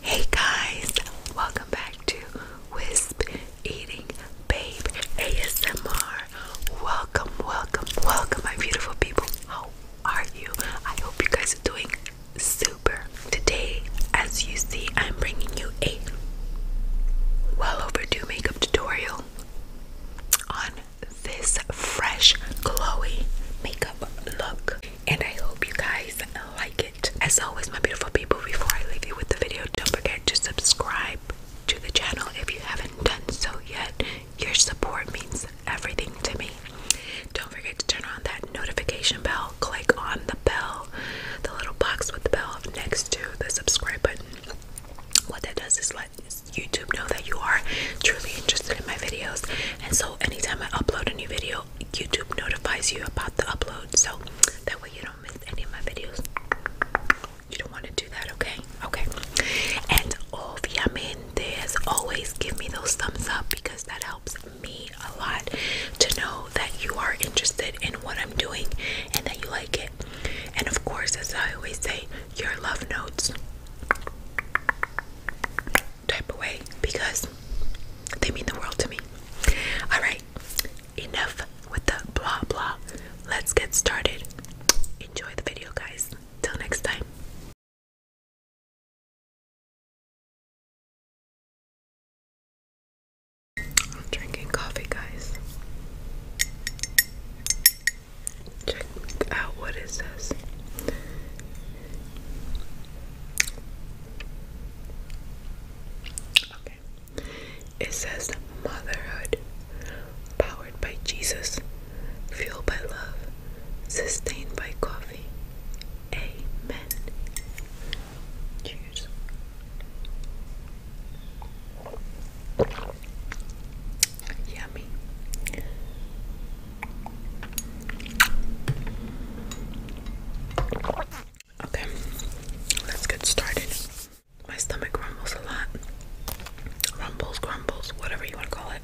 Hey guys, welcome back to Wisp Eating Babe ASMR. Welcome, welcome, welcome, my beautiful people. How are you? I hope you guys are doing super. Today, as you see, I'm bringing you a well overdue makeup tutorial on this fresh, glowy makeup look, and I hope you guys like it. As always, my beautiful people, before I leave you with the video, don't forget to subscribe to the channel if you haven't done so yet. Your support means everything to me. Don't forget to turn on that notification bell. Click on the bell, the little box with the bell next to the subscribe button. What that does is let YouTube know that you are truly interested in my videos. And so anytime I upload a new video, YouTube notifies you about the upload, so that way you don't miss any of my videos. You don't want to do that, okay? Okay. And of obviamente, as always, give me those thumbs up because that helps me a lot to know that you are interested in what I'm doing and that you like it. And of course, as I always say, your love notes type away because they mean the world to me. Alright, enough with the blah blah. Let's get started. Enjoy the video, guys. Till next time. drinking coffee, guys. Check out what is this? Okay. It says motherhood powered by Jesus, fueled by love, sustained by coffee. Amen. Cheers. Yummy. Okay, let's get started. My stomach rumbles a lot. Rumbles, grumbles, whatever you want to call it.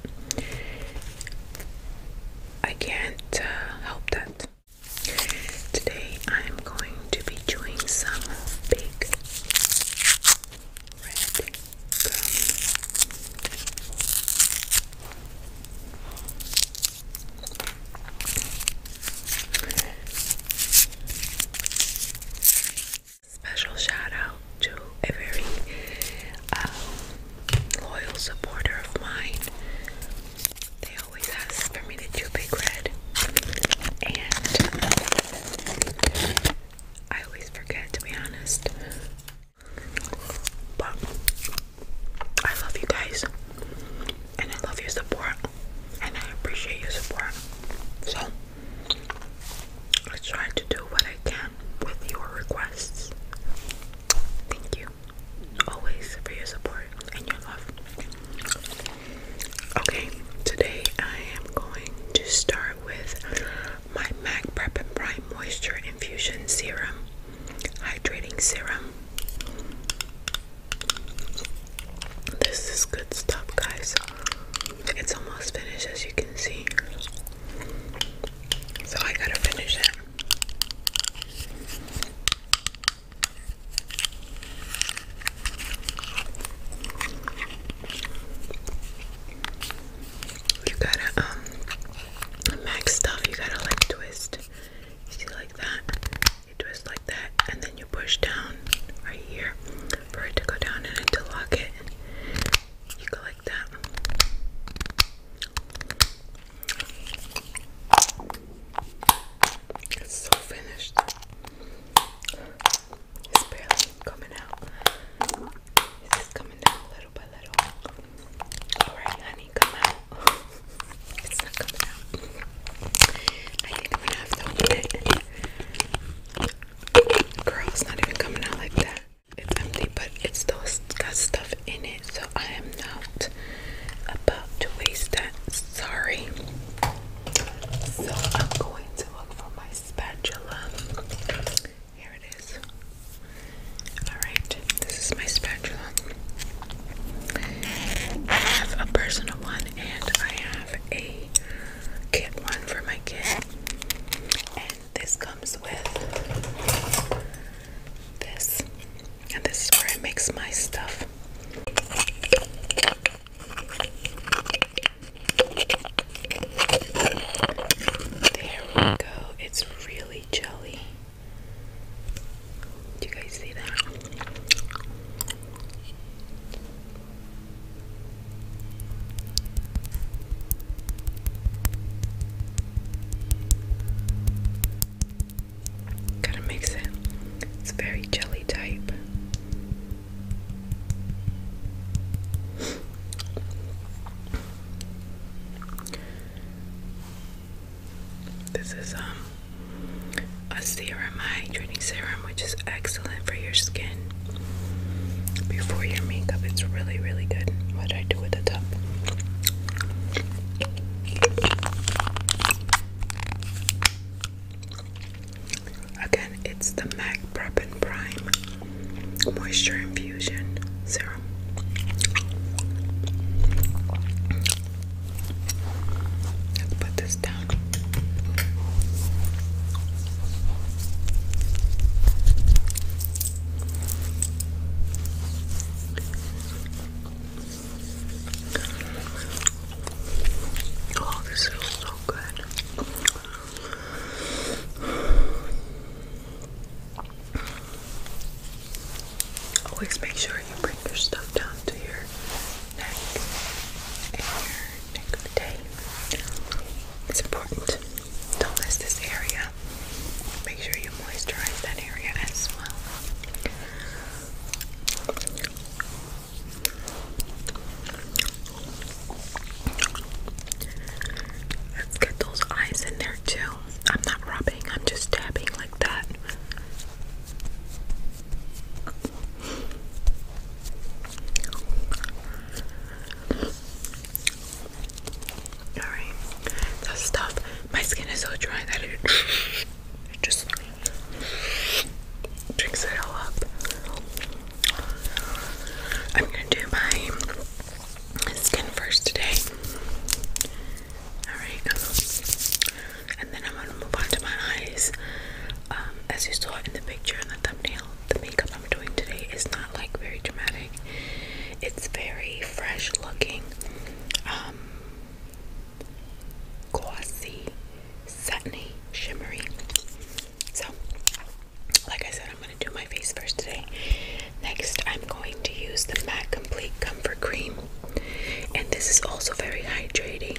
I can't uh, help that. Today I am going to be doing some big red Special shout out to a very um, loyal supporter of mine. They always ask for me to do Big Red, and I always forget to be honest. I love you guys, and I love your support, and I appreciate your support. So, I try to do what I can with your requests. Thank you always for your support and your love. Okay, today I am going to start with my MAC Prep and Prime Moisture Infusion Serum hydrating serum. This is good stuff, guys. It's almost finished, as you can see. So I gotta finish it. You gotta um max stuff. You gotta like twist. see like that. You twist like that, and then you push down right here for it to go down and interlock it. You go like that. It's so finished. It's barely coming out. It's just coming down little by little. Alright, honey. it's not coming out. I think i have to open it. Girl, it's not even coming out like that. empty, but it still got stuff in it, so I am not about to waste that. Sorry. So I'm going to look for my spatula. Here it is. Alright, this is my spatula. I have a personal one and I have a kit one for my kid. And this comes with this. And this is where I mix my stuff. There we go. It's really jelly. Do you guys see that? Gotta mix it. It's very jelly type. This is um a serum hydrating serum which is excellent for your skin before your makeup. It's really really good. What I do with the top. Again, it's the MAC Prep and Prime Moisture Infusion Serum. Let's put this down. Oh, this feels so good. Always make sure you bring your stuff down to your neck and your neck of the It's important. Don't miss this area. Make sure you moisturize that area as well. Let's get those eyes in there too. I'm not rubbing, I'm just tapping like that. Alright, that stuff. My skin is so dry that it, just drinks it all up. I'm gonna do my skin first today. Alright and then I'm gonna move on to my eyes. Um, as you saw in the picture and the thumbnail, the makeup I'm doing today is not like very dramatic. It's very fresh looking, um, glossy, satiny, shimmery. So, like I said, I'm gonna do my face first today. Next, I'm going to use the MAC Complete Comfort Cream and this is also very hydrating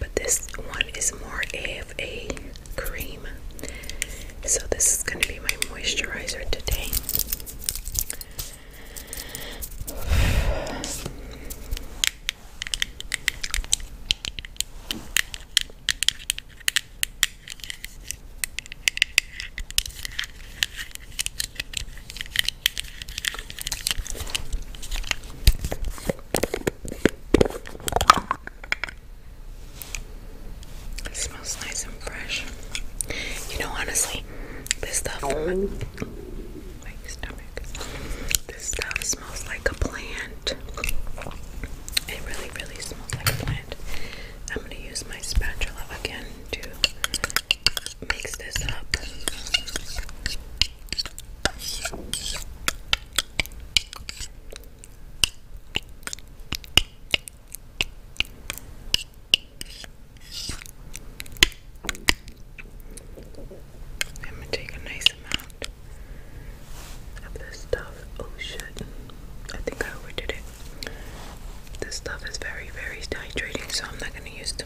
but this one is more of a cream so this is going to be my moisturizer today it smells nice and fresh. You know, honestly, this stuff, my stomach, this stuff smells like a plant. It really, really smells like a plant. I'm gonna use my spatula again to mix this up. I'm take a nice amount of this stuff. Oh shit, I think I overdid it. This stuff is very, very hydrating, so I'm not gonna use too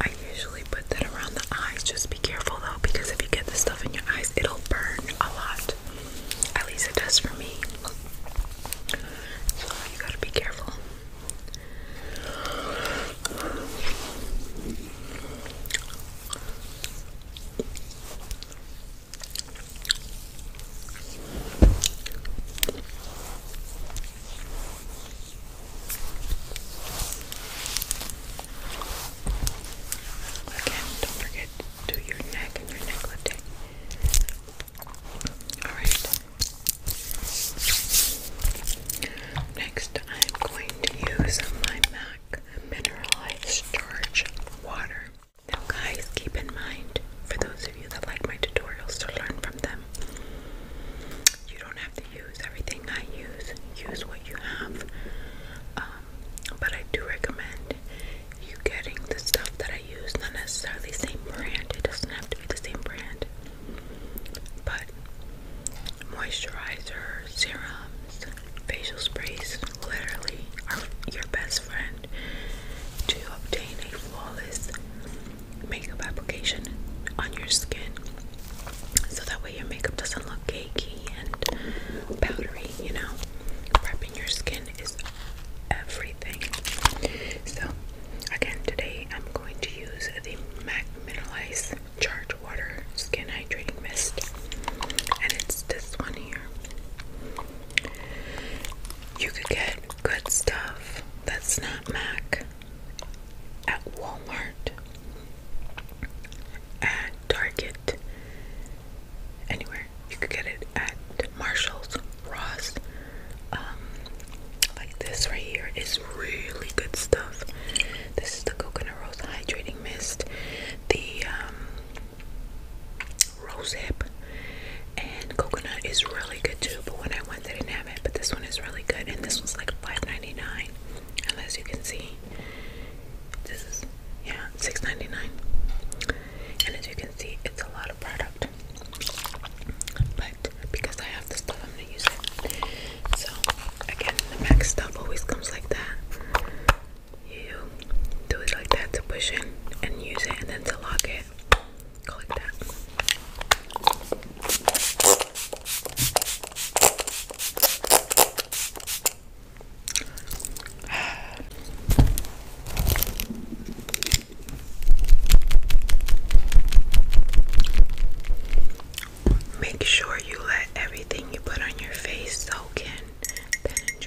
I usually put that around the eyes. Just be careful though, because if you get this stuff in your eyes, it'll burn a lot. At least it does for me. you gotta be careful. Again, don't forget to your neck and your neck Alright. Next, I'm going to use my MAC Mineralized Starch Water. Now guys, keep in mind, for those of you that like my tutorials to learn from them, you don't have to use everything I use. Use what you have. Um, but I do recommend you getting the stuff that I use, not necessarily same brand. It doesn't have to be the same brand. But moisturizers, serums, facial sprays literally are your best friend to obtain a flawless makeup application on your skin so that way your makeup doesn't look cakey and powdery, you know. Prepping your skin is everything. So, again, today I'm going to use the MAC Mineralize Charged Water Skin Hydrating Mist, and it's this one here. You could get good stuff that's not MAC at Walmart, and Target, anywhere. You could get it at Marshall's, Ross. Um, like this right here is really good stuff. This is the coconut rose hydrating mist. The um, rosehip and coconut is really good too but when I went they didn't have it but this one is really good and this one's like five ninety nine. And as you can see this is yeah six ninety nine. and as you can see it's a lot of product but because I have the stuff I'm gonna use it so again the MAC stuff always comes like that you do it like that to push in and use it and then to lock it like that Make sure you let everything you put on your face soak in,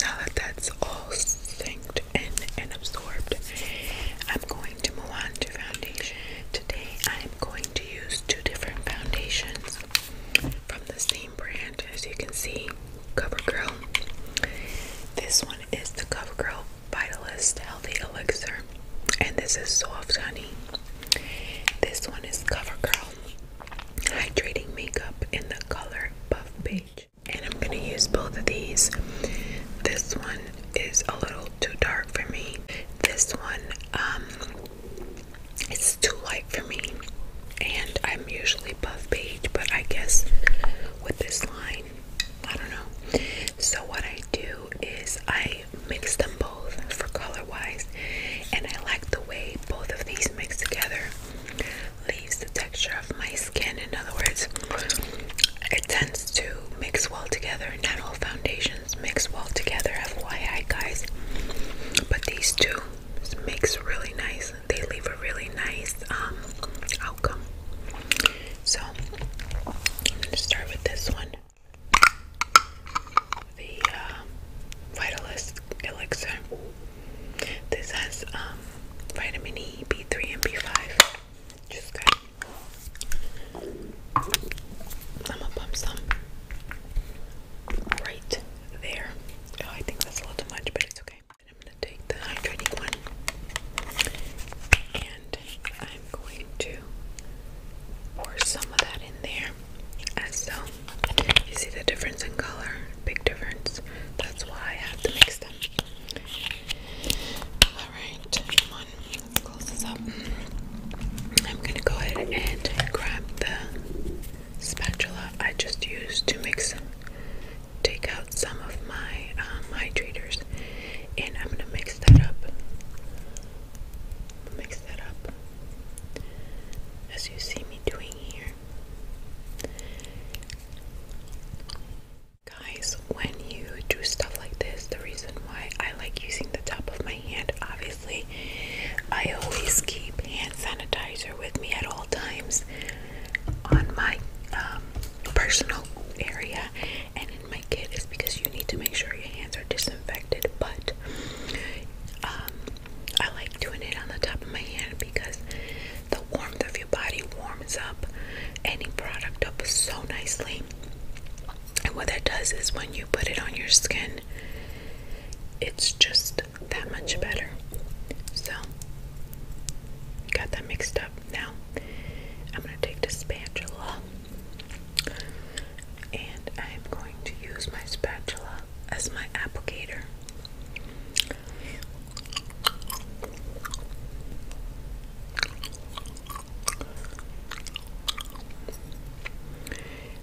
now that that's all sunk in and absorbed, I'm going to move on to foundation. Today, I'm going to use two different foundations from the same brand. As you can see, CoverGirl. This one is the CoverGirl Vitalist Healthy Elixir, and this is Soft Honey. This one is CoverGirl Hydrating Makeup in the color Buff Beige. And I'm going to use both of these. This one is a little too dark for me. This one, um, it's too light for me. And I'm usually buff page, but I guess with this line, I don't know. So what I do is I mix them both for color wise. And I like the way both of these mix together leaves the texture of my skin. In other words, it tends to mix well together. Not all foundations mix well together, FYI, guys. But these two makes really nice. They leave a really nice um, outcome. So I'm gonna start with this one, the uh, Vitalist this has um, vitamin E, B3, and B5. I'm gonna pump some right there. Oh, I think that's a little too much, but it's okay. I'm gonna take the hydrating one and I'm going to pour some of that in there as so. Um, you see the difference in color? big difference. That's why I have to mix them. Alright, come let's close this up. I'm gonna go ahead and grab the spatula I just used to mix take out some of my um, hydrators and I'm gonna mix that up. Mix that up. As you see me doing here. Guys, when you do stuff like this, the reason why I like using the top of my hand, obviously, I always keep hand sanitizer with me at all times on my um, personal area and in my kit is because you need to make sure your hands are disinfected. But um, I like doing it on the top of my hand because the warmth of your body warms up any product up so nicely. And what that does is when you put it on your skin, it's just that much better. So, got that mixed up. Now, I'm going to take the spatula and I'm going to use my spatula as my applicator.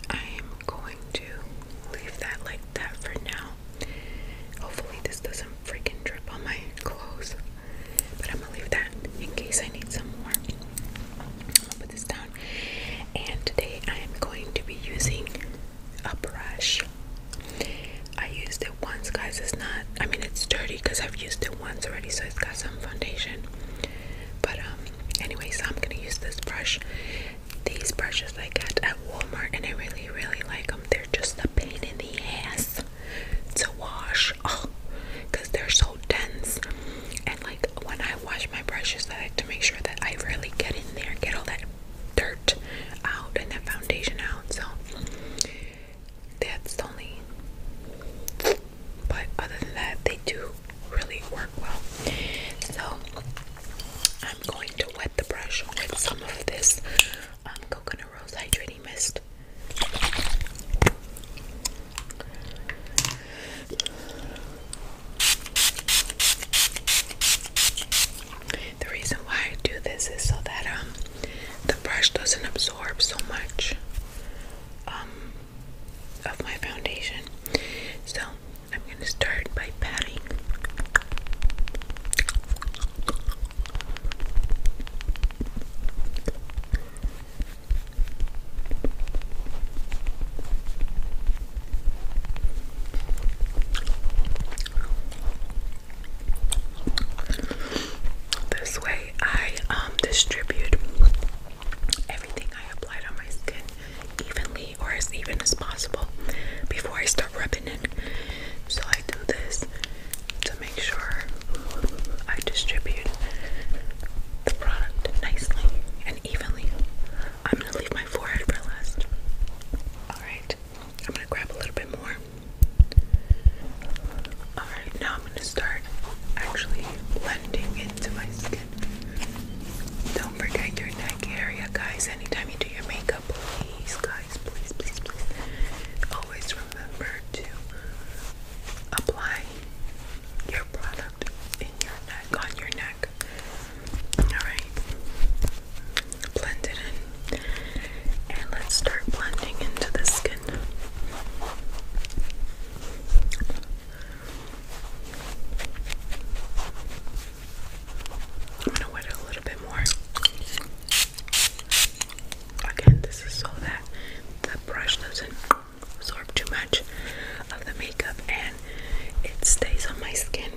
I am going to leave that like that for now. Hopefully, this doesn't freaking drip on my clothes, but I'm gonna leave that in case I need some more. I'm gonna put this down, and today I am going to be using a brush. I used it once, guys. It's not, I mean, it's dirty because I've used it once already, so it's got some foundation. But, um, anyway, so I'm gonna use this brush. These brushes I get at Walmart, and I really, really like them. They're just the pain in the ass to wash. Oh, because they're so dense. And, like, when I wash my brushes, I have to make sure that I really get in there, get all that dirt out and that foundation out. So that's the only. But other than that, they do really work well. So I'm going to wet the brush with some of this um, coconut rose hydrating mist. The reason why I do this is so that um, the brush doesn't absorb so much um, of my foundation. So I'm gonna start by patting. This way I um, distribute everything I applied on my skin evenly or as even as possible before I start rubbing it. So I do this to make sure I distribute the product nicely and evenly. I'm gonna leave my forehead for last. Alright. I'm gonna grab a little bit more. Alright, now I'm gonna start actually blending into my skin. Don't forget your neck area, guys. Anytime you do your makeup, please, guys, please, please, please. Always remember to apply your product in your neck, on your neck. Alright blend it in. And let's start blending into the skin. I'm gonna wet it a little bit more. Again, this is so that the brush doesn't absorb too much of the makeup and it stays on my skin.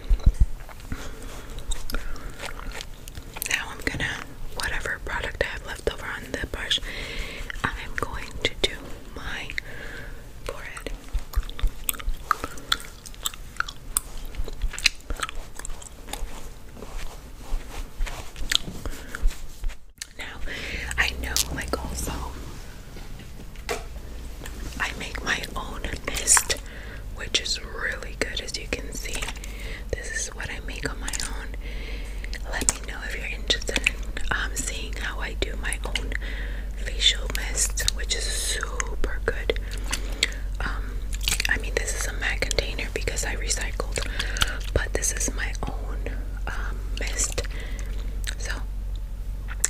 Now I'm gonna, whatever product I have left over on the brush, I'm going to do my forehead. Now, I know, like, also, I make my own mist which is really good as you can see. This is what I make on my own. Let me know if you're interested in um, seeing how I do my own facial mist, which is super good. Um, I mean, this is a MAC container because I recycled, but this is my own um, mist. So,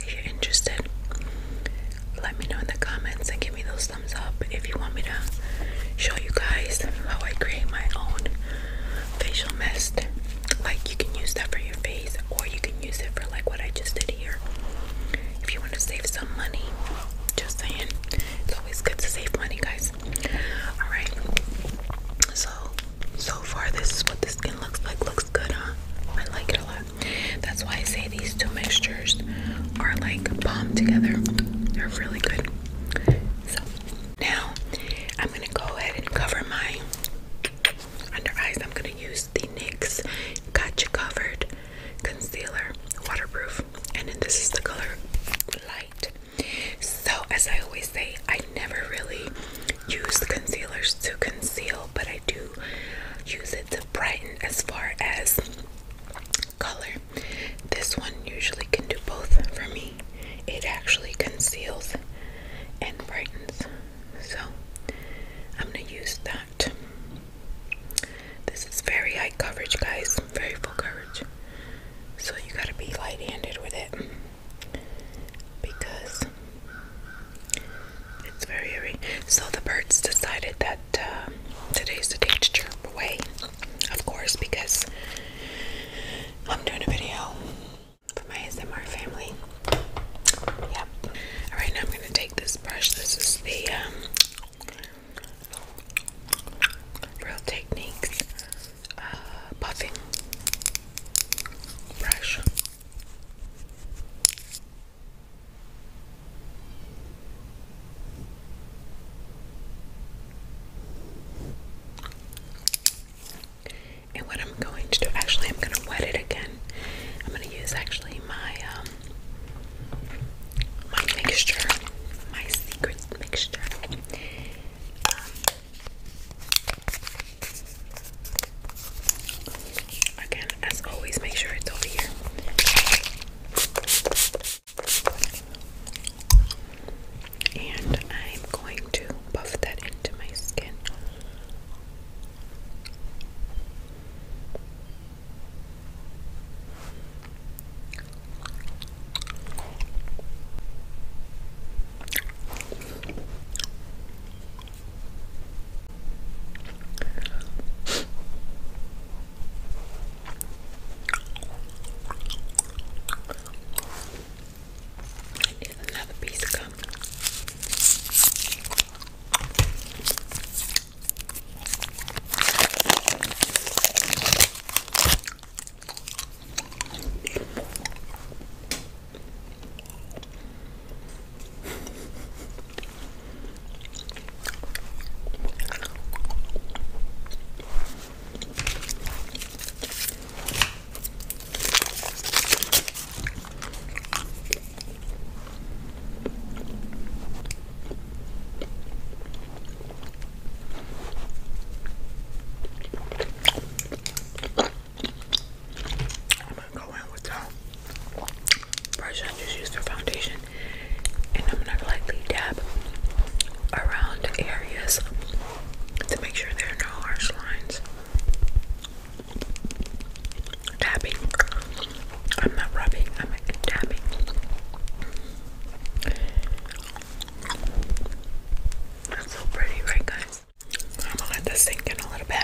if you're interested, let me know in the comments and give me those thumbs up if you want me to show you guys how I create my own facial mist. Like you can use that for your face or you can use it for like what I just did here. If you want to save some money, just saying. It's always good to save money, guys. Alright. So so far this is what the skin looks like. Looks good, huh? I like it a lot. That's why I say these two mixtures are like bomb together. They're really good. So now I'm gonna go ahead and cover my under eyes. I'm gonna use the NYX Gotcha Covered Concealer Waterproof, and this is the color light. So as I always say, I never really use concealers to conceal, but I do use it to brighten as far as color. This one usually can do both for me. It actually conceals and brightens. So I'm going to use that. This is very high coverage, guys. Very full coverage. So you got to be light handed with it because it's very, very. So the birds decided that uh, today's the day to chirp away of course, because I'm doing a video for my ASMR family. Yep. All right, now I'm gonna take this brush. This is the um, Real Techniques uh, brush. And what I'm going to do, actually, I'm going to wet it again. I'm going to use actually my um, my mixture, my secret mixture. Um, again, as always, make sure it's over here. And I'm going to buff that into my skin. Here's another piece of gum. I'm gonna go in with the brush I just used the foundation and I'm gonna lightly dab around areas to make sure there are no harsh lines. Tapping. I'm not rubbing, I'm tapping. That's so pretty, right, guys? I'm gonna let this sink in a little bit.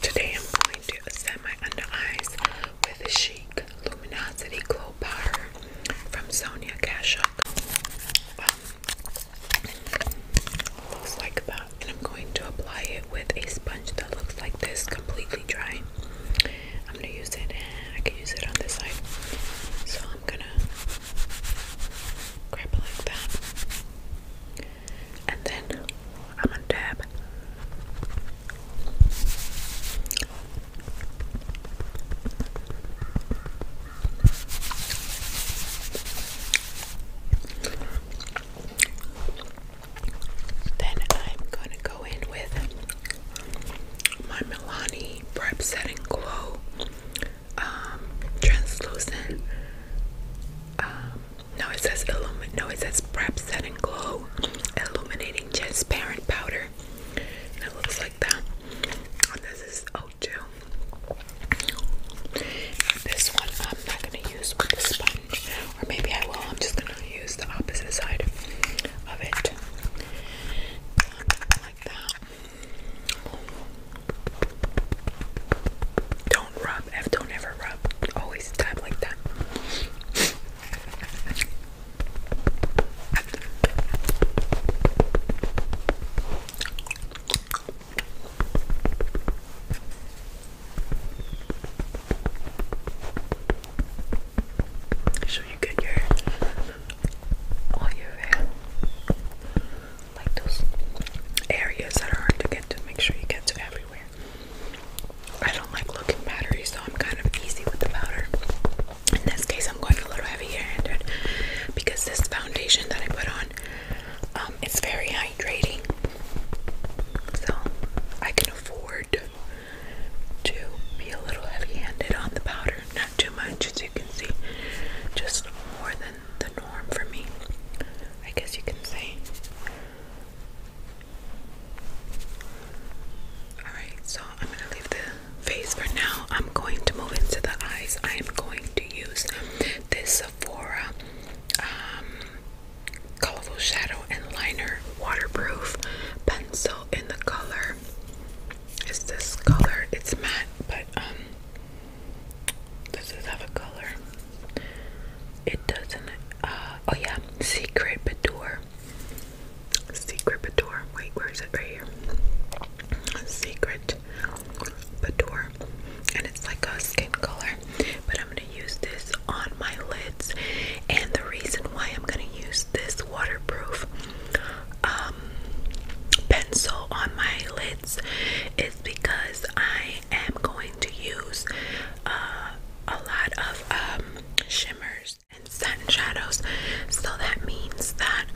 Today I'm going to set my under eyes with a chic luminosity glow powder from Sonia Kashuk. Um, looks like that, and I'm going to apply it with a sponge that looks like this, completely dry. I'm gonna use it. I can use it on this side, so I'm gonna grab like that, and then I'm gonna dab. Then I'm going to go in with my Milani Prep Setting Glow um, Translucent. Um, no, it says illumin. No, it says Prep Setting Glow Illuminating Transparent Powder. And it looks like that. And this is oat oh, This one I'm not gonna use with the sponge, or maybe I will. I'm just gonna use the opposite side of it, like that. Don't rub. don't ever rub. Always tap like that. So you get your all your hair, like those areas that are hard to get to. Make sure you get to everywhere. I don't like looking powdery, so I'm kind of easy with the powder. In this case, I'm going a little heavy-handed because this foundation that I put on, um, it's very hydrating, so I can afford to be a little heavy-handed on the powder too much, as you can see, just more than the norm for me, I guess you can say. Alright, so I'm going to leave the face for now. I'm going to move into the eyes. I am going to use this Sephora um, Colorful Shadow and Liner Waterproof Pencil in the color. Is this color? It's matte but um, this is have a color. It doesn't. Uh, oh yeah, Secret Boudoir. Secret Boudoir. Wait, where is it? Right here. Secret Boudoir, and it's like a skin color. But I'm gonna use this on my lids, and the reason why I'm gonna use this waterproof um, pencil on my lids is because I am going to use uh, a lot of um, shimmers and satin shadows, so that means that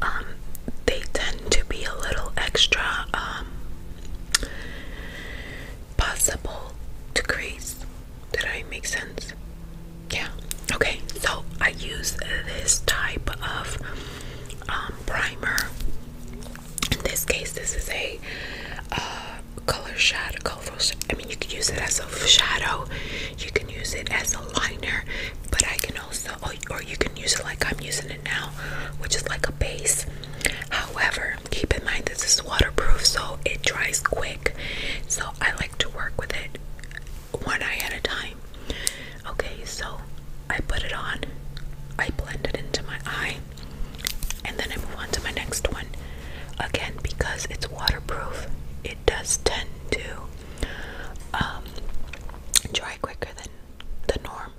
um, they tend to be a little extra possible to crease. Did I make sense? yeah okay so I use this type of um, primer in this case this is a uh, color shadow colorful I mean you can use it as a shadow you can use it as a liner but I can also or you can use it like I'm using it now which is like a base however keep in mind this is waterproof so it dries quick so I like to work with it one eye at a time. Okay, so I put it on, I blend it into my eye, and then I move on to my next one. Again, because it's waterproof, it does tend to um, dry quicker than the norm.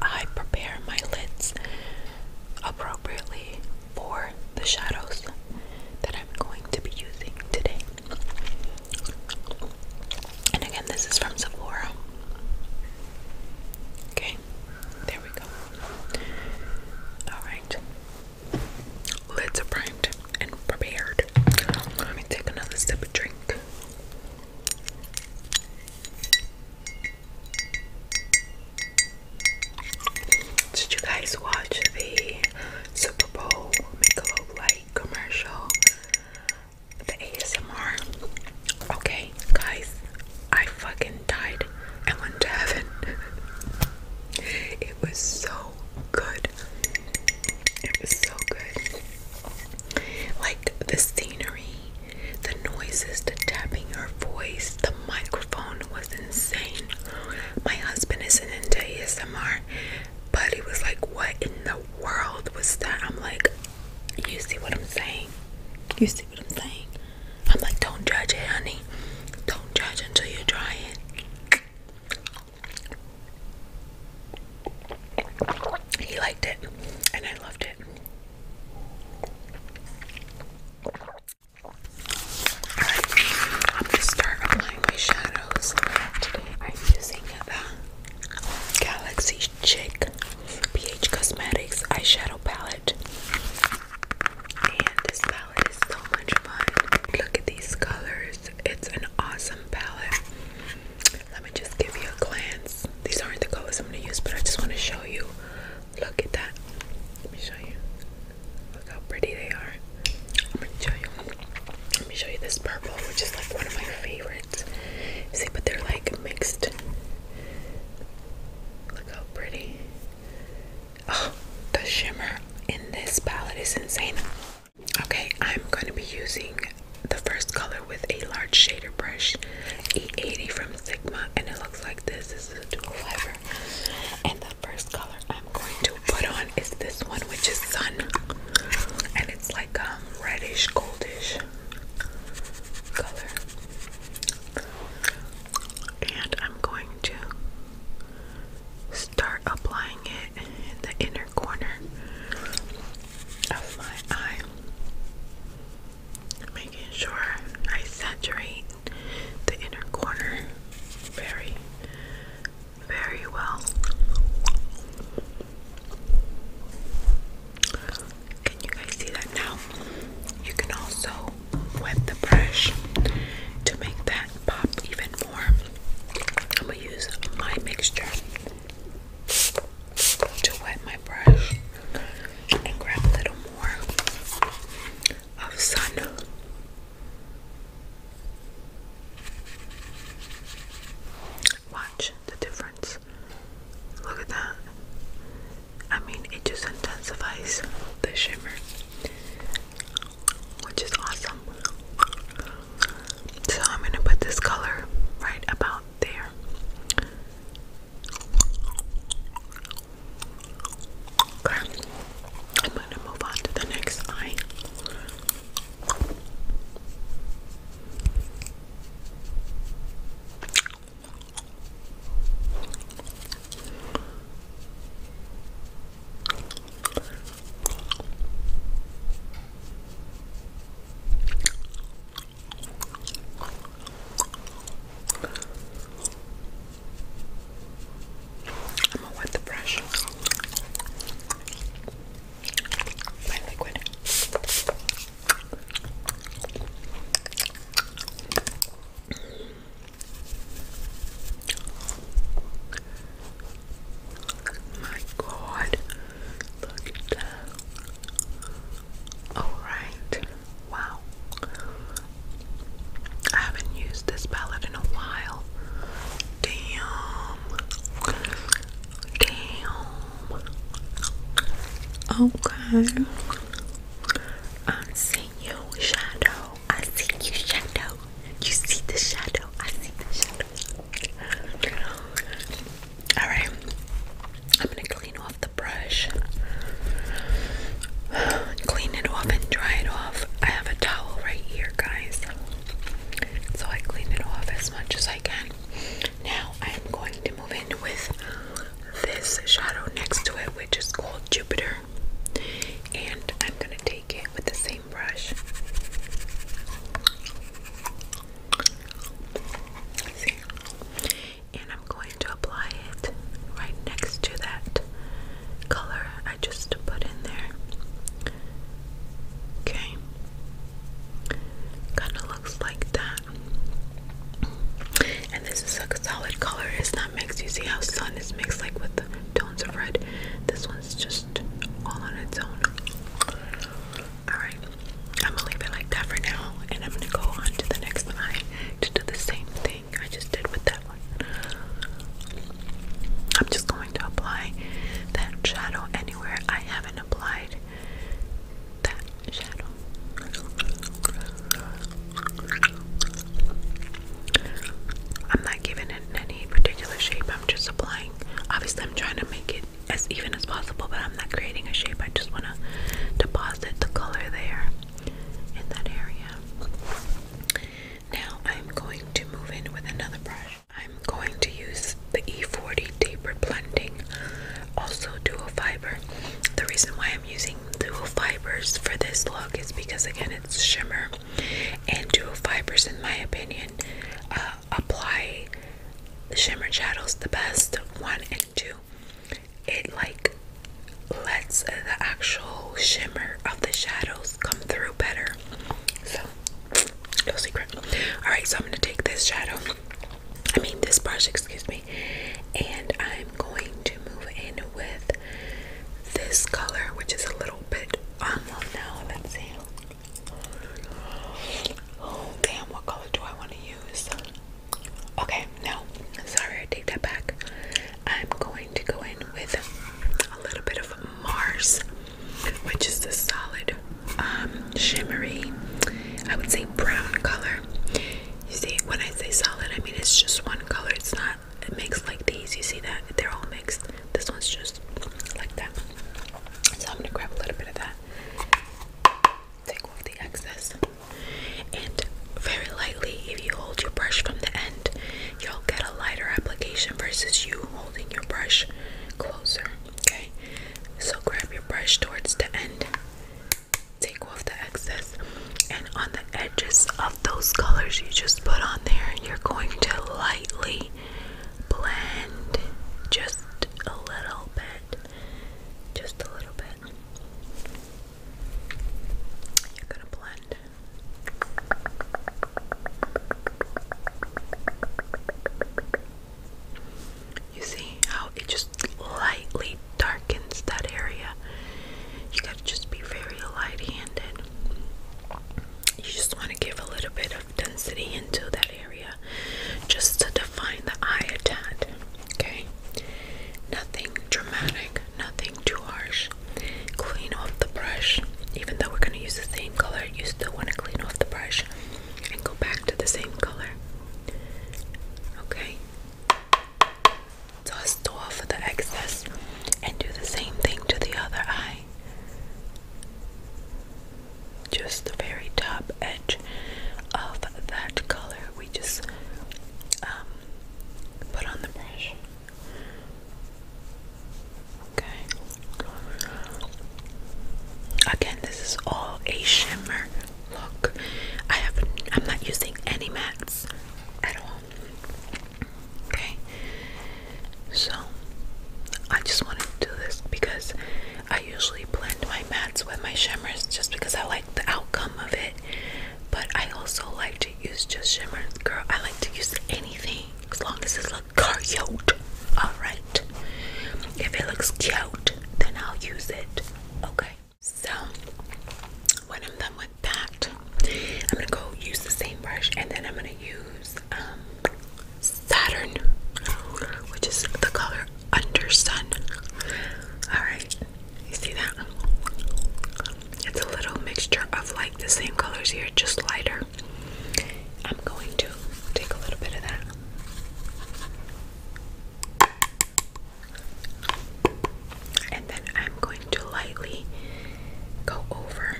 I prepare my lids appropriately for the shadows that I'm going to be using today. And again, this is from Sephora. Okay, there we go. Alright. Lids are primed and prepared. Let me take another sip of drink. Did you guys watch the Super Bowl Michelob Light commercial? the ASMR. Okay, guys, I fucking died and went to heaven. it was so good. It was so good. Like the scenery, the noises, the tapping, her voice, the microphone was insane. My husband isn't into ASMR, but Buddy was like, What in the world was that? I'm like, You see what I'm saying? You see what I'm saying? I'm like, Don't judge it, honey. Don't judge until you try it. He liked it, and I loved it. Alright, I'm going start applying my shadows. Today I'm using the Galaxy Chic PH Cosmetics eyeshadow palette. this palette is so much fun. Look at these colors. It's an awesome palette. Let me just give you a glance. These aren't the colors I'm going to use, but I just want to show you. Look at that. Let me show you. Look how pretty they are. I'm going to show you. Let me show you this purple, which is like one of my favorites. See, but they're like mixed. Look how pretty. Oh, the shimmer in this palette is insane. Okay, I'm going to be using the first color with a large shader brush, E80 from Sigma, and it looks like this. This is a dual fiber. And the first color I'm going to put on is this one, which is Sun. And it's like a um, reddish goldish color. And I'm going to start applying it in the inner corner of my eye, making sure I saturate the inner corner very very well. Can you guys see that now? You can also wet the brush to make that pop even more. I'm gonna use my mixture to wet my brush and grab a little more of sun. Watch the difference. Look at that. I mean, it just intensifies the shimmer, which is awesome. So, I'm going to put this color right about there. I'm going to move on to the next eye. I'm gonna wet the brush my liquid. My God, look at that. Alright, wow. I haven't used this palette in a while. Damn. Damn. Okay. I see you shadow. I see you shadow. You see the shadow. I see the shadow. Alright. I'm gonna clean off the brush. Clean it off and dry it off. I have a towel right here, guys. So I clean it off as much as I can. Now I am going to move in with this shadow next to it, which is called Jupiter. And I'm going to take it with the same brush. And I'm going to apply it right next to that color I just put in there. Okay. Kind of looks like that. And this is a solid color. It's not mixed. You see how sun is mixed like with the tones of red. This one's just all on its own. Alright. I'm gonna leave it like that for now. And I'm gonna go on to the next eye to do the same thing I just did with that one. I'm just going to apply that shadow anywhere I haven't applied that shadow. I'm not giving it any particular shape, I'm just applying. Obviously, I'm trying to make it as even as possible, but I'm not creating a shape. I just want to deposit the color there in that area. Now, I'm going to move in with another brush. I'm going to use the E40 tapered blending, also dual fiber. The reason why I'm using dual fibers for this look is because again it's shimmer, and dual fibers, in my opinion, uh, apply shimmer shadows the best. One and two, it like lets the actual shimmer of the shadows come through better. So no secret. Alright, so I'm going to take this shadow, I mean, this brush, excuse me, and I'm going to move in with this color, which is a little bit unlocked um, now. Let's see. Oh, damn, what color do I want to use? Okay, no, sorry, I take that back. I'm going to go in with a little bit of Mars which is this solid um, shimmery, I would say brown color. You see, when I say solid, I mean it's just one color. It's not mixed like these. You see that? They're all mixed. This one's just like that. So I'm going to grab a little bit of that, take off the excess, and very lightly, if you hold your brush from the end, you'll get a lighter application versus you holding your brush closer. Okay, so grab your brush towards the end, take off the excess, and on the edges of those colors you just put on there, you're going to lightly blend just a little bit, just a little bit. You're gonna blend. You see how it just lightly darkens that area. You gotta just be very light handed. You just want to give a little bit of density into that area just to define the eye a Okay? Nothing dramatic, nothing too harsh. Clean off the brush. Even though we're going to use the same color, you still want to clean off the brush and go back to the same color. Okay? Dust off the excess and do the same thing to the other eye. Just the very top edge of that color we just um, put on the brush. Okay. Again, this is all a shimmer look. I have I'm not using any mattes at all. Okay. So I just wanted to do this because I usually blend my mattes with my shimmers just because I like the outcome of it. But I also like to use just shimmers. Girl, I like to use anything as long as it's cute, alright? If it looks cute, then I'll use it, okay? So, when I'm done with that, I'm gonna go use the same brush and then I'm gonna use um, Saturn, which is the color Under Sun. Alright, you see that? It's a little mixture of like the same colors here, just lighter. I'm going to take a little bit of that and then I'm going to lightly go over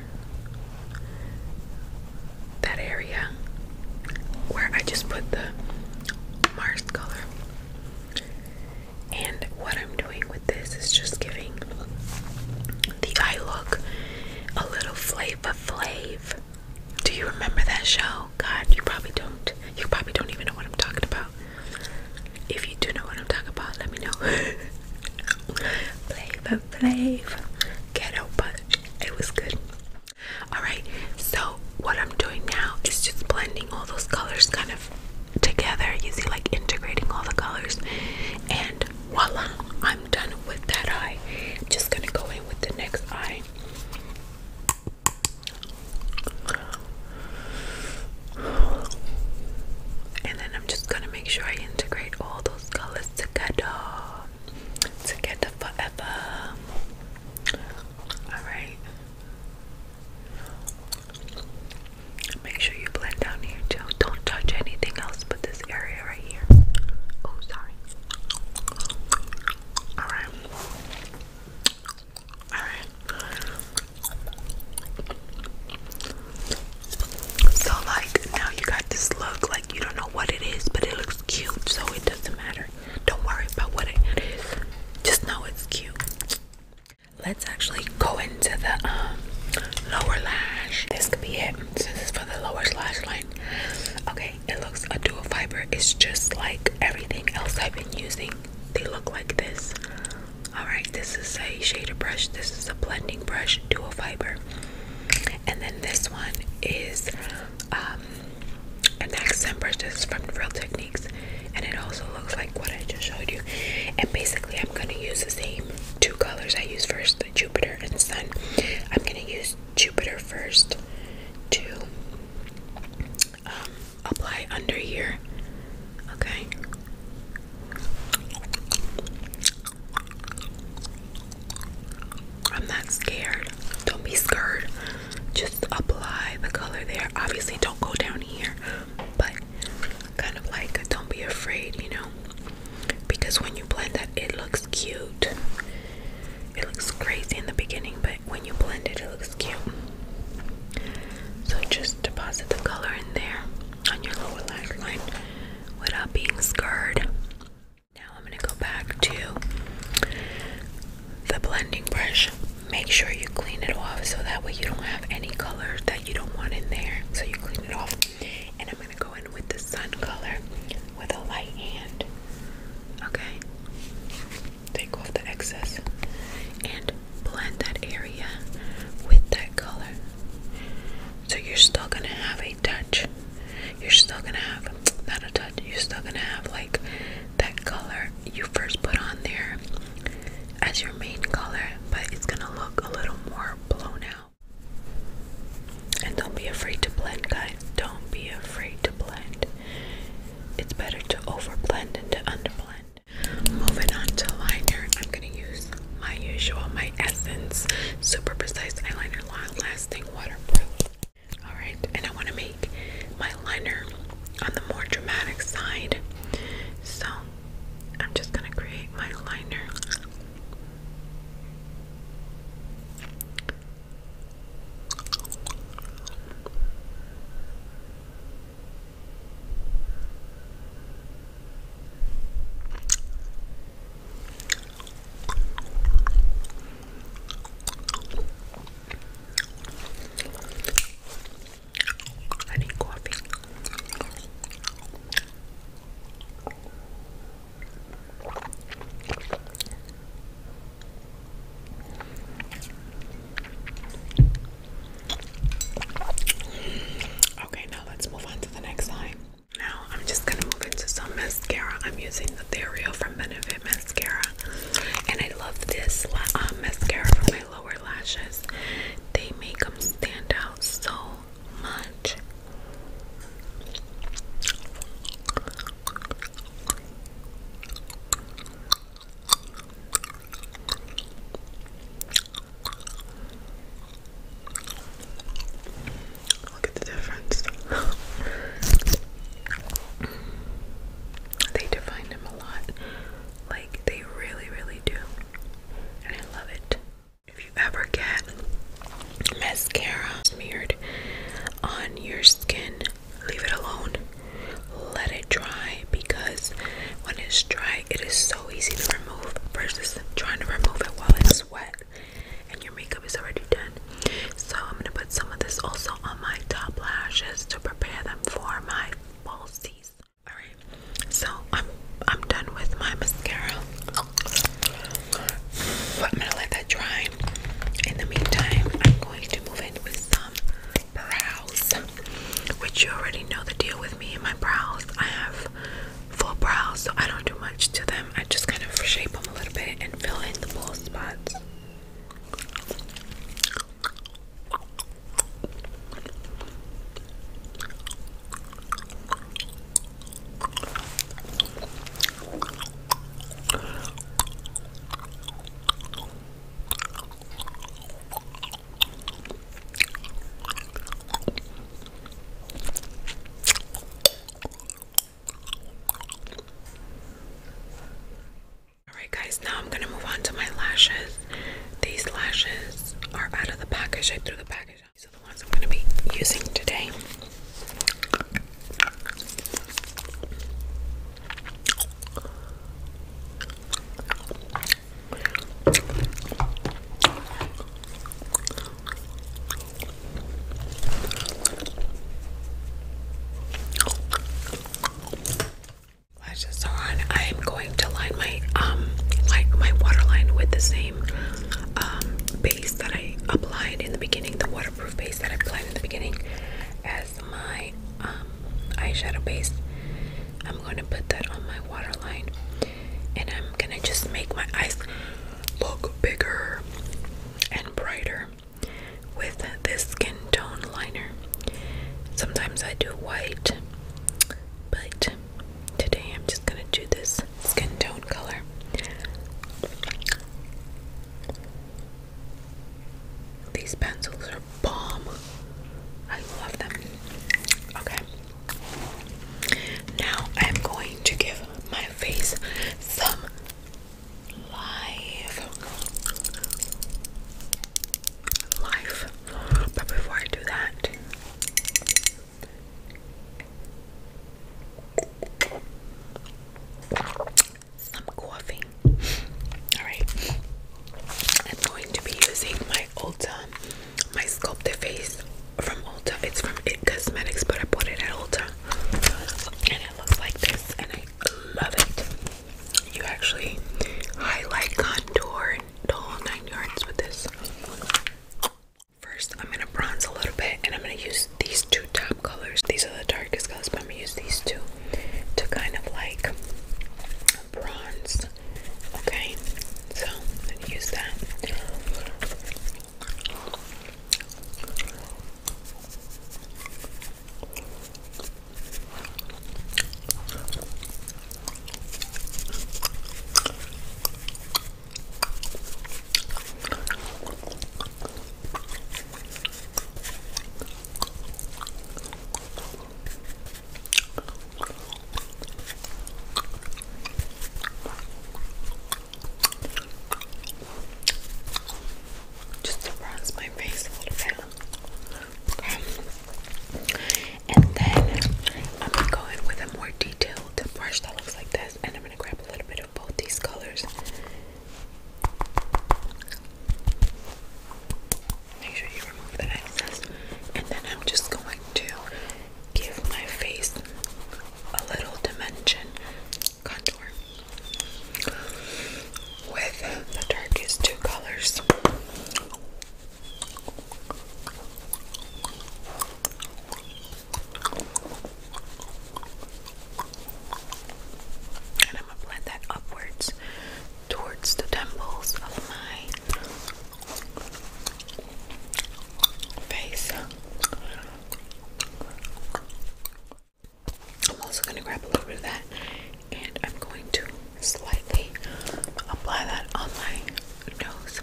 that area where I just put the Mars color. And what I'm doing with this is just giving the eye look a little flavor flave do you remember that show? God, you probably don't. You probably don't even know what I'm talking about. If you do know what I'm talking about, let me know. Flavor, flavor, ghetto, but it was good. Alright, so what I'm doing now is just blending all those colors kind of together. using like integrating all the colors, and voila, I'm done with that eye. I'm just gonna go in with the next eye. And then I'm just gonna make sure I integrate all those colors together. Together forever. Alright. Make sure you blend down here too. Don't touch anything else but this area right here. Oh, sorry. Alright. Alright. So, like, now you got this look, like, you don't know what it is, but it looks cute, so it doesn't matter. Don't worry about what it is, just know it's cute. Let's actually go into the um, lower lash. This could be it This is for the lower lash line. Okay, it looks a dual fiber. It's just like everything else I've been using. They look like this. Alright, this is a shader brush. This is a blending brush, dual fiber. And then this one is um, an accent brush. This is from Real Techniques. And it also looks like what I just showed you. And basically, I'm going to use the same two colors I used first, Jupiter and Sun. I'm going to use Jupiter first to um, apply under here. Okay. I'm not scared. Don't be scared. Just apply the color there. Obviously, don't go down here, but kind of like don't be afraid, you know? Because when you blend that, it looks cute. It looks crazy in the beginning, but when you blend it, it looks cute. So just deposit the color in there on your lower lash line without being scared. Now I'm going to go back to the blending brush. Make sure you clean it off so that way you don't have any color that you don't want in there. So you clean it off. And I'm going to go in with the sun color with a light hand. Okay? Take off the excess and blend that area with that color. So you're still gonna have a touch. You're still gonna have, not a touch, you're still gonna have like that color you first put on there as your main color, but it's gonna look a little more blown out. And don't be afraid to blend, guys. Don't be afraid to blend. It's better to overblend than to underblend. Moving on to liner, I'm gonna use my usual, my Essence Super Precise Eyeliner Long Lasting Waterproof. Alright, and I wanna make my liner on the more dramatic side. So I'm just gonna create my liner. I need coffee. Okay, now let's move on to the next line. Now I'm just gonna move into some mascara. I'm using the Therio from Benefit mascara, and I love this um, mascara for my lower lashes. They make them stand out so much. Look at the difference. they define him a lot. Like, they really, really do. And I love it. If you ever get mascara smeared on your skin, leave it alone let it dry because when it's dry it is so easy to remove versus trying to remove it while it's wet and your makeup is already done so i'm going to put some of this also on my top lashes to prepare them for my falsies all right so i'm i'm done with my mascara i'm going to let that dry in the meantime i'm I'm going to move in with some brows, which you already know the deal with me and my brows. I have full brows, so I don't do much to them. I just kind of shape them a little bit and fill in the bald spots. Alright, guys, now I'm gonna move on to my lashes. These lashes are out of the package, I threw the package out. These are the ones I'm gonna be using today. Lashes on. I am going to line my um like my waterline with the same um base that I applied in the beginning, the waterproof base that I applied in the beginning my um, eyeshadow base. I'm going to put that on my waterline and I'm going to just make my eyes look bigger and brighter with this skin tone liner. Sometimes I do white, but today I'm just going to do this skin tone color. These pencils are bomb. I love them. Okay. Now I'm going to give my face some life. Life. But before I do that, I'm Alright. I'm going to be using my Ulta, my Sculpt Face from Ulta. It's from It Cosmetics, but I bought it at Ulta. And it looks like this, and I love it. You actually highlight, contour, and nine yards with this. First, I'm going to bronze a little bit, and I'm going to use these two top colors. These are the darkest colors, but I'm gonna use these two to kind of like bronze. Okay, so use that. Just to bronze my face a little bit. And then I'm gonna go in with a more detailed brush that looks like this, and I'm gonna grab a little bit of both these colors Make sure you remove the excess, and then I'm just going to give my face a little dimension contour with the darkest two colors. And I'm gonna blend that upwards towards the temples of my face. I'm also going to grab a little bit of that and I'm going to slightly apply that on my nose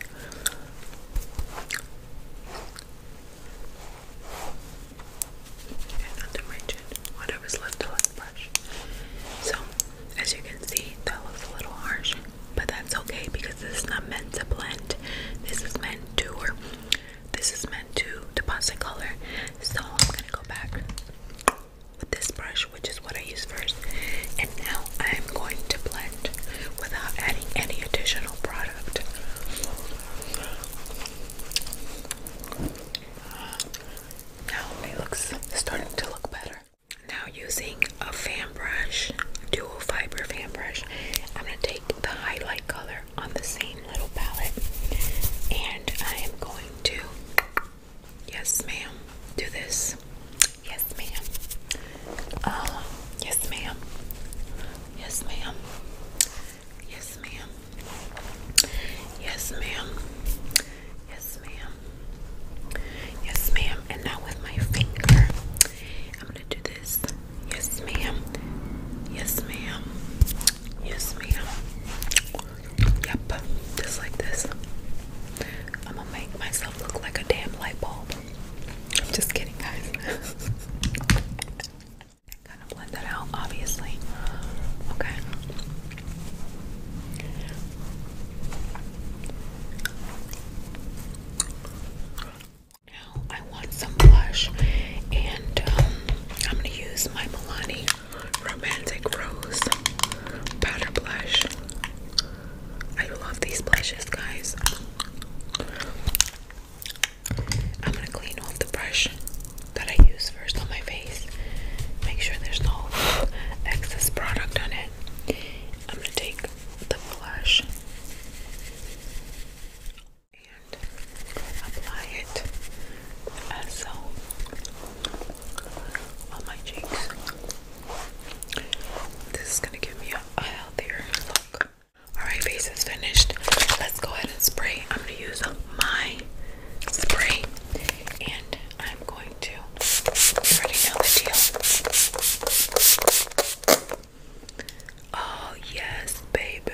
under my chin, whatever's left of the brush. So, as you can see, that looks a little harsh, but that's okay because this is not meant to blend. This is meant to, or this is meant to deposit color. So I'm gonna go back with this brush, which is what I used first, and now I'm going to blend without adding any additional product. Now it looks starting to look better. Now using a fan brush, dual fiber fan brush, I'm going to take the highlight color on the same little palette and I am going to, yes ma'am, do this. Yes ma'am. Uh, yes ma'am. Yes ma'am. Yes, ma'am. Yes, ma'am. Yes, ma'am. Yes, ma'am. And now with my finger, I'm gonna do this. Yes, ma'am. Yes, ma'am. Yes, ma'am. Yep, just like this. I'm gonna make myself look like a damn light bulb. I'm just kidding, guys. Kind of blend that out, obviously. Okay. Now I want some blush, and um, I'm gonna use my Milani Romantic Rose powder blush. I love these blushes, guys. I'm gonna clean off the brush that I use first on my face. Make sure there's no excess product on it. I'm going to take the blush and apply it as so um, on my cheeks. This is going to give me a healthier look. Alright, face is finished. Let's go ahead and spray. I'm going to use my spray, and I'm going to already know the deal. Oh yes, baby.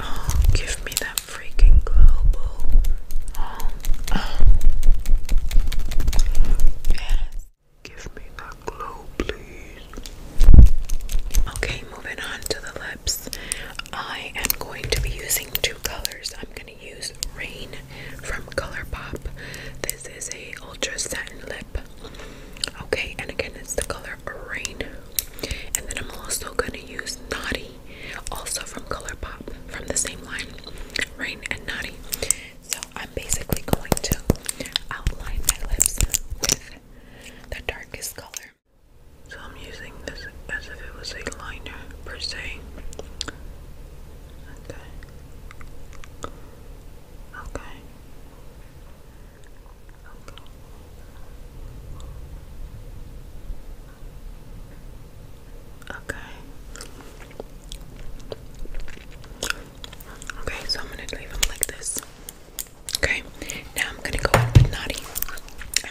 Oh, give me that freaking global. Oh, oh. Yes. Give me that glow, please. Okay, moving on to the lips. I am going to be using two colors. I'm going to use Rain from ColourPop. This is a ultra satin lip. Okay, and again, it's the color Rain. And then I'm also going to use Naughty, also from ColourPop, from the same line, Rain and Naughty. So I'm basically going to outline my lips with the darkest color. So I'm using this as if it was a liner per se. Okay. Okay. Okay. Okay. Okay, so I'm gonna leave them like this. Okay, now I'm gonna go in with Naughty.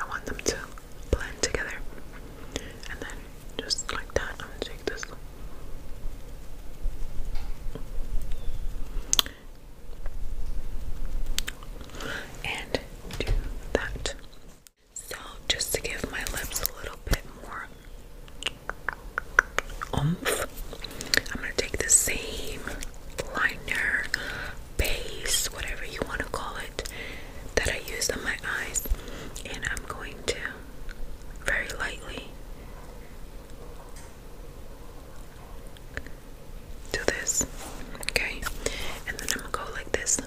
I want them to blend together. And then just like that, I'm gonna take this. And do that. So, just to give my lips a little bit more oomph, I'm gonna take the same liner base, whatever you want to call it, that I used on my eyes, and I'm going to very lightly do this, okay? And then I'm gonna go like this.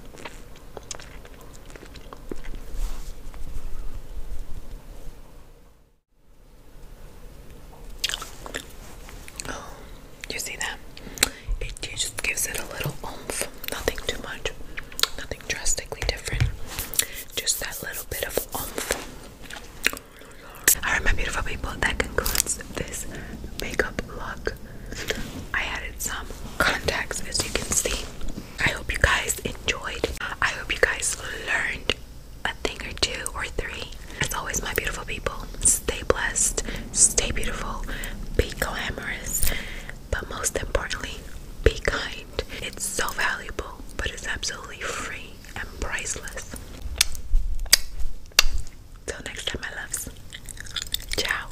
Oh. You see that? It just gives it a little oomph. Nothing too much. Nothing drastically different. Just that little bit of oomph. Alright, my beautiful people, that concludes this makeup look. I added some contacts as you can see. I hope you guys enjoyed. I hope you guys learned a thing or two or three. As always, my beautiful people, stay blessed, stay beautiful, be glamorous, but most importantly, be kind. It's so valuable, but it's absolutely free and priceless. Till next time, my loves. Ciao.